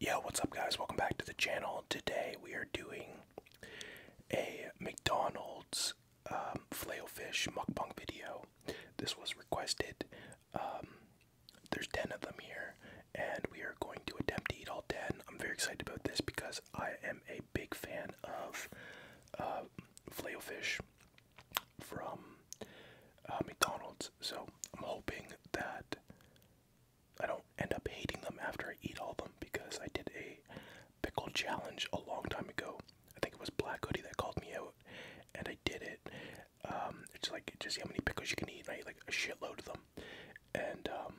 Yo, what's up guys? Welcome back to the channel. Today we are doing a McDonald's um, flailfish fish mukbang video. This was requested. Um, there's 10 of them here and we are going to attempt to eat all 10. I'm very excited about this because I am a big fan of uh, flailfish from uh, McDonald's. So I'm hoping that I don't end up hating them after I eat all of them because I did a pickle challenge a long time ago. I think it was Black Hoodie that called me out, and I did it. Um, it's like just how many pickles you can eat, and I ate like a shitload of them. And um,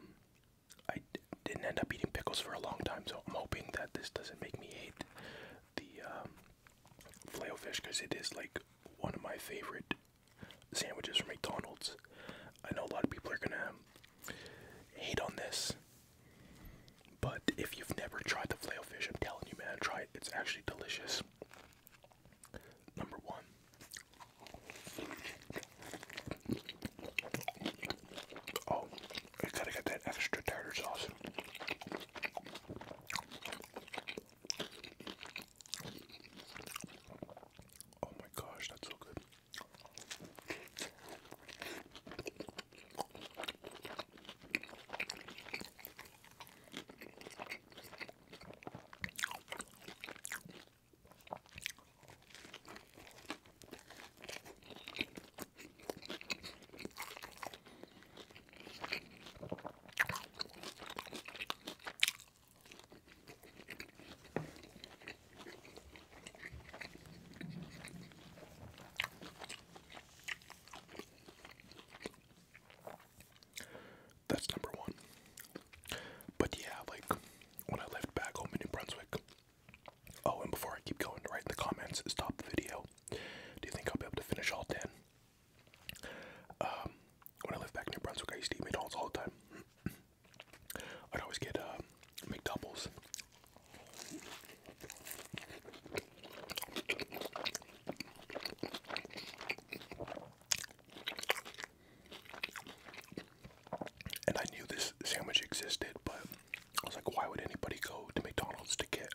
I d didn't end up eating pickles for a long time, so I'm hoping that this doesn't make me hate the um, fish because it is like one of my favorite sandwiches from McDonald's. I know a lot of people are gonna hate on this, but if you've never tried the flail fish, I'm telling you, man, try it. It's actually delicious. Number one. Oh, gotta get that extra tartar sauce. Oh my gosh, that's so good. That's number one. But yeah, like when I left back home in Brunswick. Oh, and before I keep going, right in the comments, stop the video. Do you think I'll be able to finish all 10? Um, when I lived back in New Brunswick, I used to eat McDonald's all the time. I'd always get uh, And I knew this sandwich existed, but I was like, why would anybody go to McDonald's to get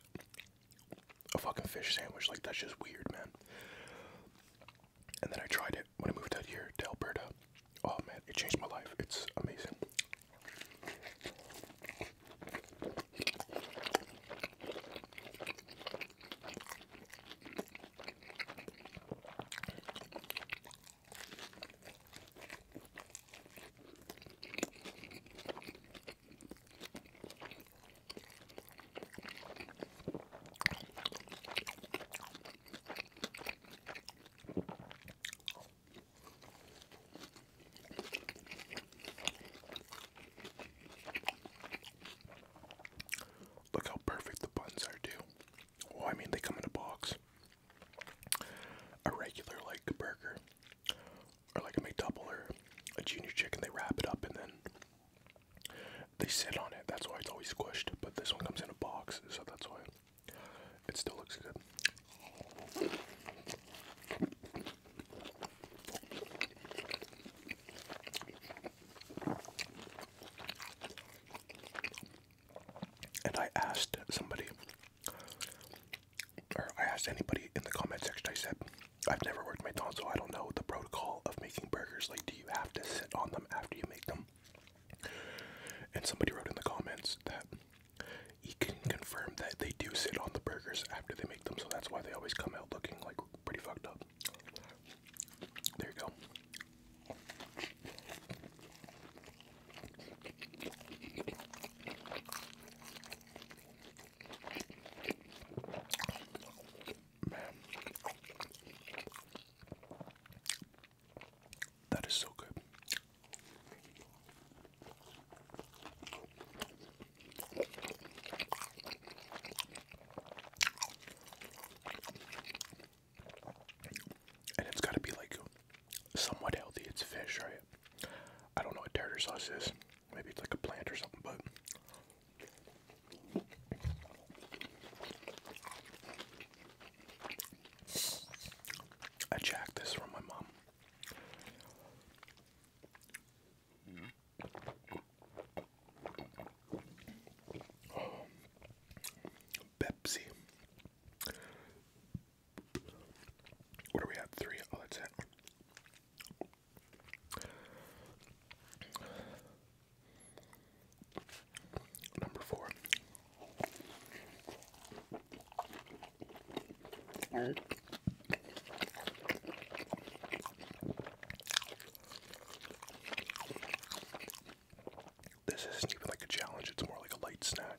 a fucking fish sandwich. Like that's just weird, man. And then I tried it when I moved out here to Alberta. Oh man, it changed my life. It's amazing. Look how perfect the buns are, too. Well, oh, I mean, they come in a box. A regular, like, burger, or like a McDouble or a junior chicken, they wrap it up and then they sit on it, that's why it's always squished, but this one comes in a box, so that's why it still looks good. And I asked somebody, or I asked anybody in the comment section, I said, I've never worked McDonald's, so I don't know the protocol of making burgers. Like, do you have to sit on them after you make them? And somebody wrote in the comments that he can confirm that they do sit on the burgers after they make them, so that's why they always come out looking like pretty fucked up. There you go. Man. That is so good. And it's got to be like somewhat healthy. It's fish, right? I don't know what tartar sauce is. Maybe it's like a plant or something, but I jacked this from my mom. Pepsi. What do we have? Three? Oh, that's it. Number four. This isn't even like a challenge, it's more like a light snack.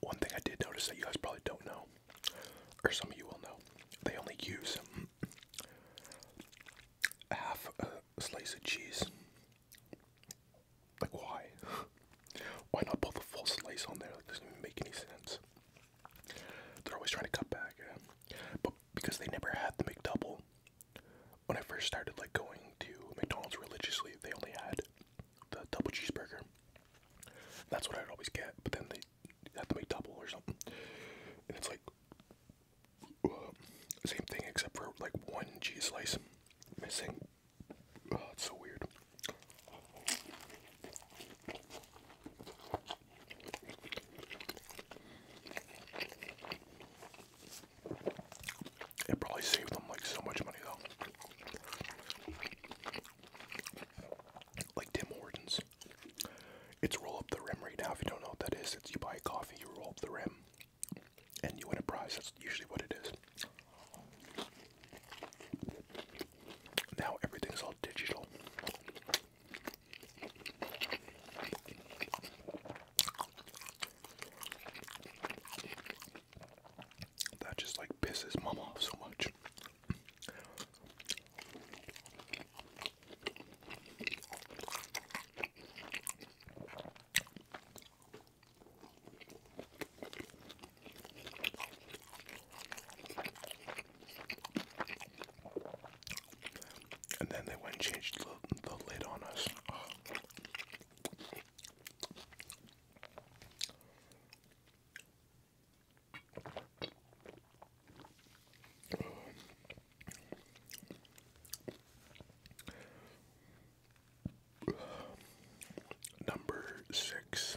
One thing I did notice that you guys probably don't know, or some of you will know, they only use half a slice of cheese. Like, why? why not put the full slice on there? That doesn't even make any sense. They're always trying to cut back, but because they never had the McDouble. When I first started like going to McDonald's religiously, they only had the double cheeseburger. That's what I'd always get, but then they had the McDouble or something, and it's like same thing except for like one cheese slice missing. Oh, it's so weird. It probably saved them like so much money though. Like Tim Hortons. It's roll up the rim right now. If you don't know what that is, it's you buy a coffee, you roll up the rim, and you win a prize. That's usually what it is. Now everything's all digital. That just like pisses mom off so much and then they went and changed the, lid on us. Number six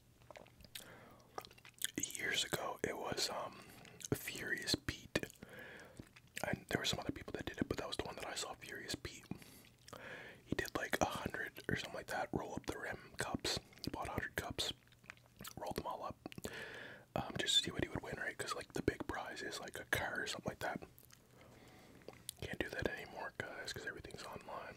years ago it was um Furious Pete. And there were some other people that did it, but that was the one that I saw Furious Pete. He did like a hundred or something like that, roll up the rim cups. He bought a hundred cups, rolled them all up, um, just to see what he would win, right? Because like the big prize is like a car or something like that. Can't do that anymore, guys, because everything's online.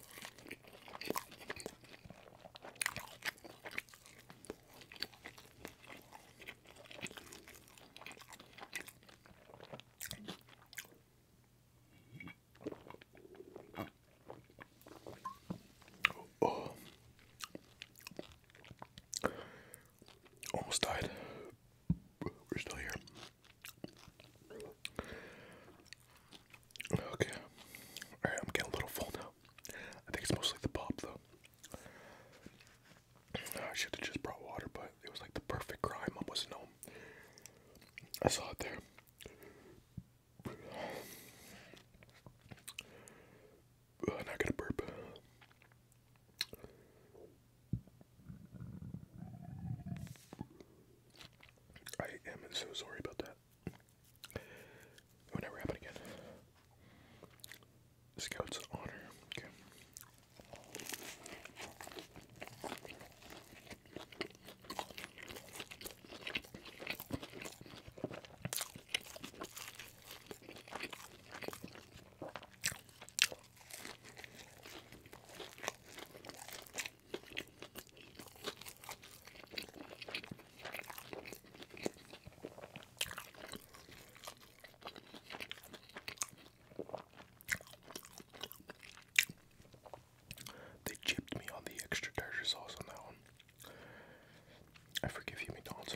Oh. Almost died. We're still here. Okay. Alright, I'm getting a little full now. I think it's mostly the pop though. Ah, I should have just brought water, but it was like the perfect crime. I was I saw it there. not gonna burp. I am so sorry about that. It would never happen again. Scout's honor. Okay. They chipped me on the extra tartar sauce on that one. I forgive you, McDonald's.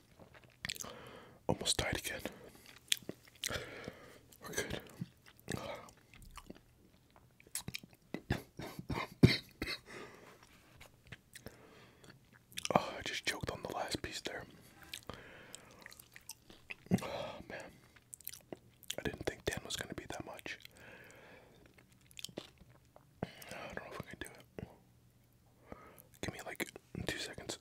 Almost died again. We're good. Ah, I just choked on the last piece there. Ah, man. I didn't think 10 was going to be that much. I don't know if I can do it. Give me like two seconds.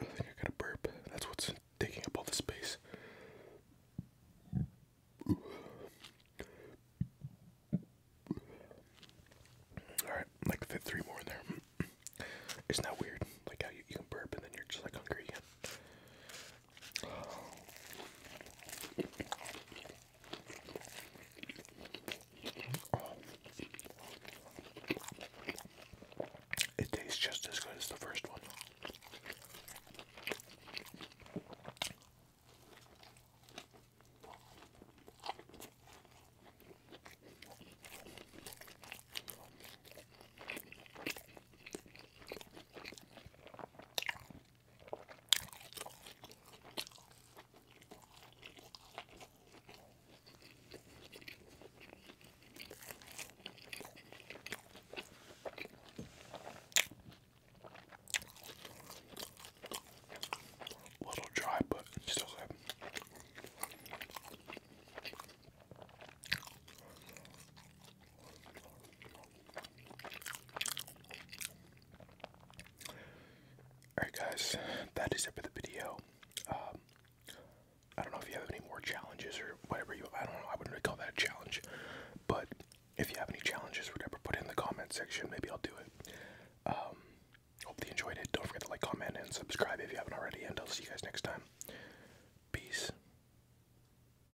I think I got a burp. That's what's taking up all the space. Alright, like fit three more in there. Isn't that weird? Like how you, you burp and then you're just like hungry it tastes just as good as the first one. A little dry, but still good. Alright, guys, that is it for the video. Um, I don't know if you have any more challenges or whatever you. I don't know. I wouldn't really call that a challenge, but if you have any challenges, whatever, put it in the comment section. Maybe I'll do it. Um, hope you enjoyed it. Don't forget to like, comment, and subscribe if you haven't already. And I'll see you guys next time. Peace.